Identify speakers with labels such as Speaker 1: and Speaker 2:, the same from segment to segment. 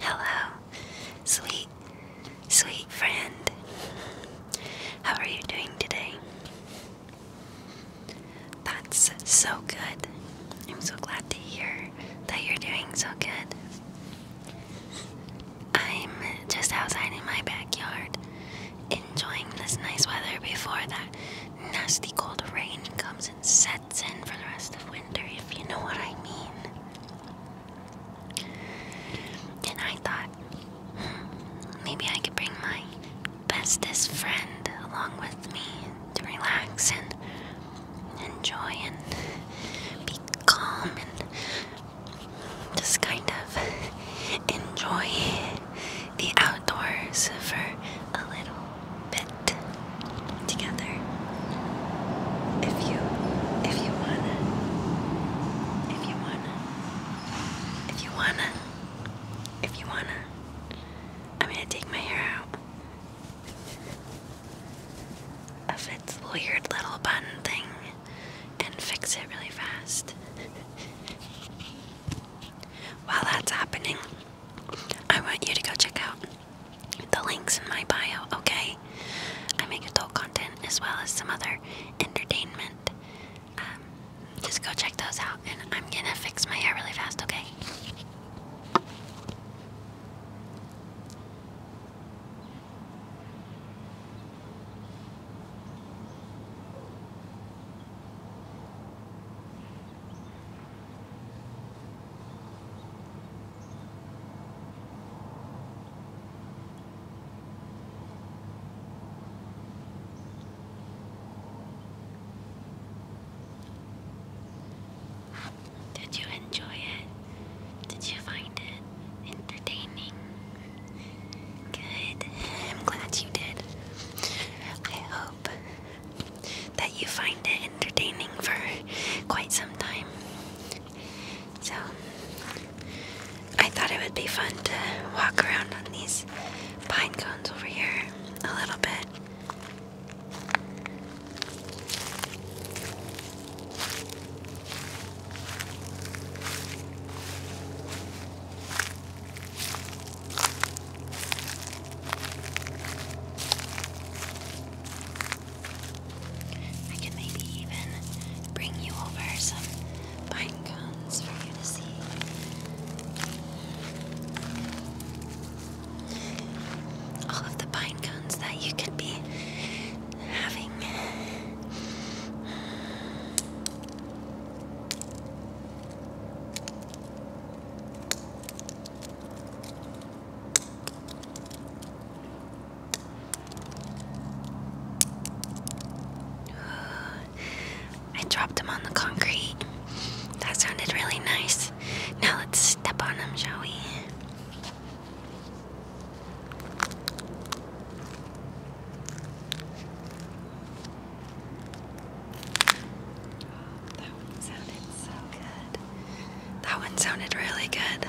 Speaker 1: Hello, sweet, sweet friend. How are you doing today? That's so good. I'm so glad to hear that you're doing so good. I'm just outside in my backyard enjoying this nice weather before that nasty cold rain comes and sets sets in for the rest of winter, if you know what I mean. And I thought, hmm, maybe I could bring my bestest friend along with me to relax and enjoy and be calm and just kind of enjoy the outdoors for a little bit together. If you if you wanna if you wanna if you wanna if you wanna I'm gonna take my hair out of its weird little bun thing and fix it really fast. While that's happening, I want you to go check out the links in my bio, okay? I make adult content as well as some other entertainment. Um, just go check those out, and I'm gonna fix my hair really fast, okay? Did you enjoy it? Did you find it entertaining? Good. I'm glad you did. I hope that you find it entertaining for quite some time. So, I thought it would be fun to walk around on these pine cones over here a little bit. I can maybe even bring you over some pine cones for you to see. All of the pine cones that you could be having. I dropped him on the concrete. That sounded really nice. Now let's step on him, shall we? That one sounded so good. That one sounded really good.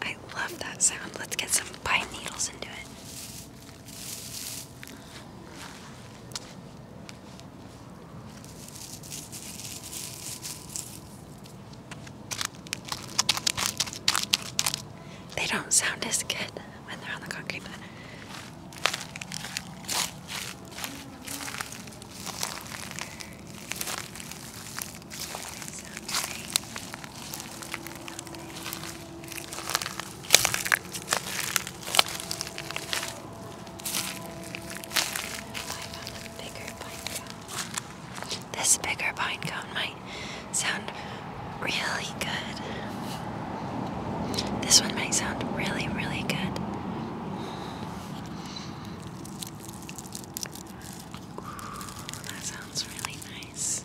Speaker 1: I love that sound. Let's get some pine needles into it. They don't sound as good when they're on the concrete. This bigger pine cone might sound really good. This one might sound really, really good. that sounds really nice.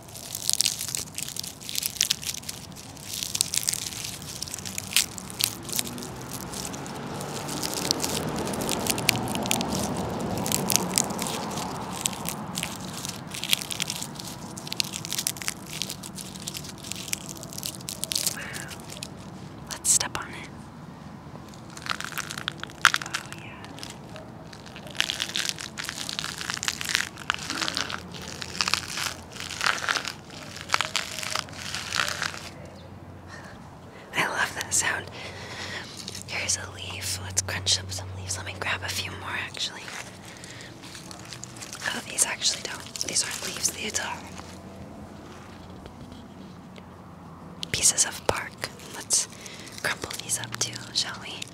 Speaker 1: Let's step on it. Oh, yeah. I love that sound. Here's a leaf. Let's crunch up some leaves. Let me grab a few more actually. Oh, these actually don't. These aren't leaves, these are pieces of bark. Let's crumple these up too, shall we?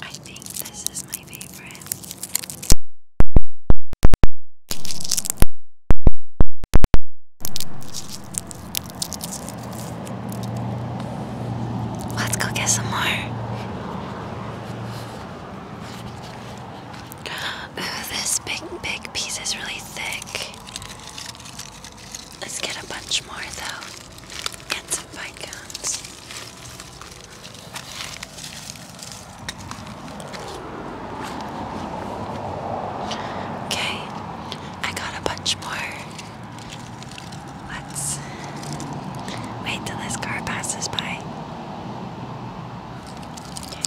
Speaker 1: I think this is my favorite. Let's go get some more. Ooh, this big, big piece is really thick. Let's get a bunch more though. Get some Viscounts. Okay, I got a bunch more. Let's wait till this car passes by. Okay,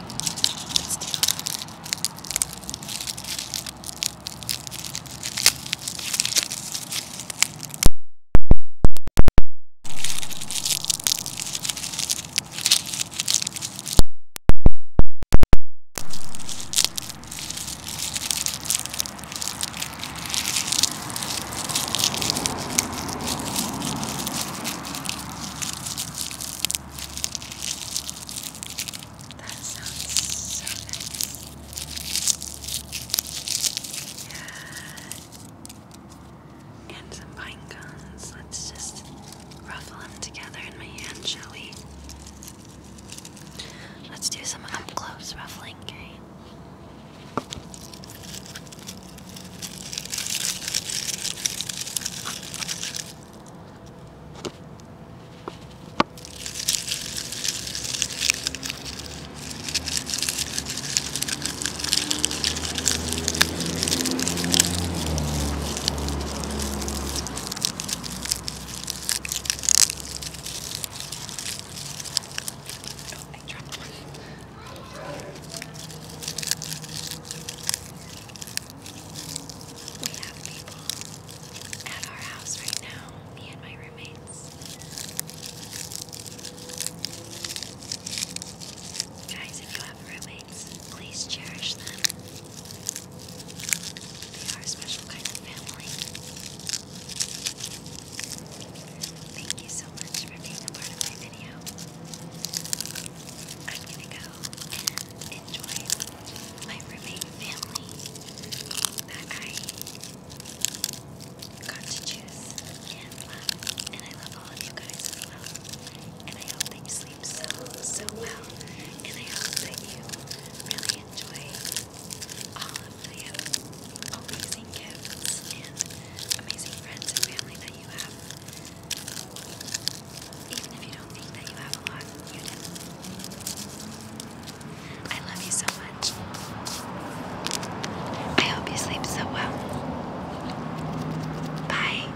Speaker 1: that sounds so nice. Yeah. And some pine Let's just ruffle them together in my hand, shall we? Let's do some up close ruffling, okay? I dropped one. We have people at our house right now, me and my roommates. Guys, if you have roommates, please cherish them. They are a special kind of family. Thank you so much for being a part of my video. I'm gonna go and enjoy my roommate family that I got to choose and love. And I love all of you guys as well. And I hope you sleep so, so well. And I hope that you really enjoy all of the amazing gifts and amazing friends and family that you have. Even if you don't think that you have a lot, you do. I love you so much. I hope you sleep so well. Bye.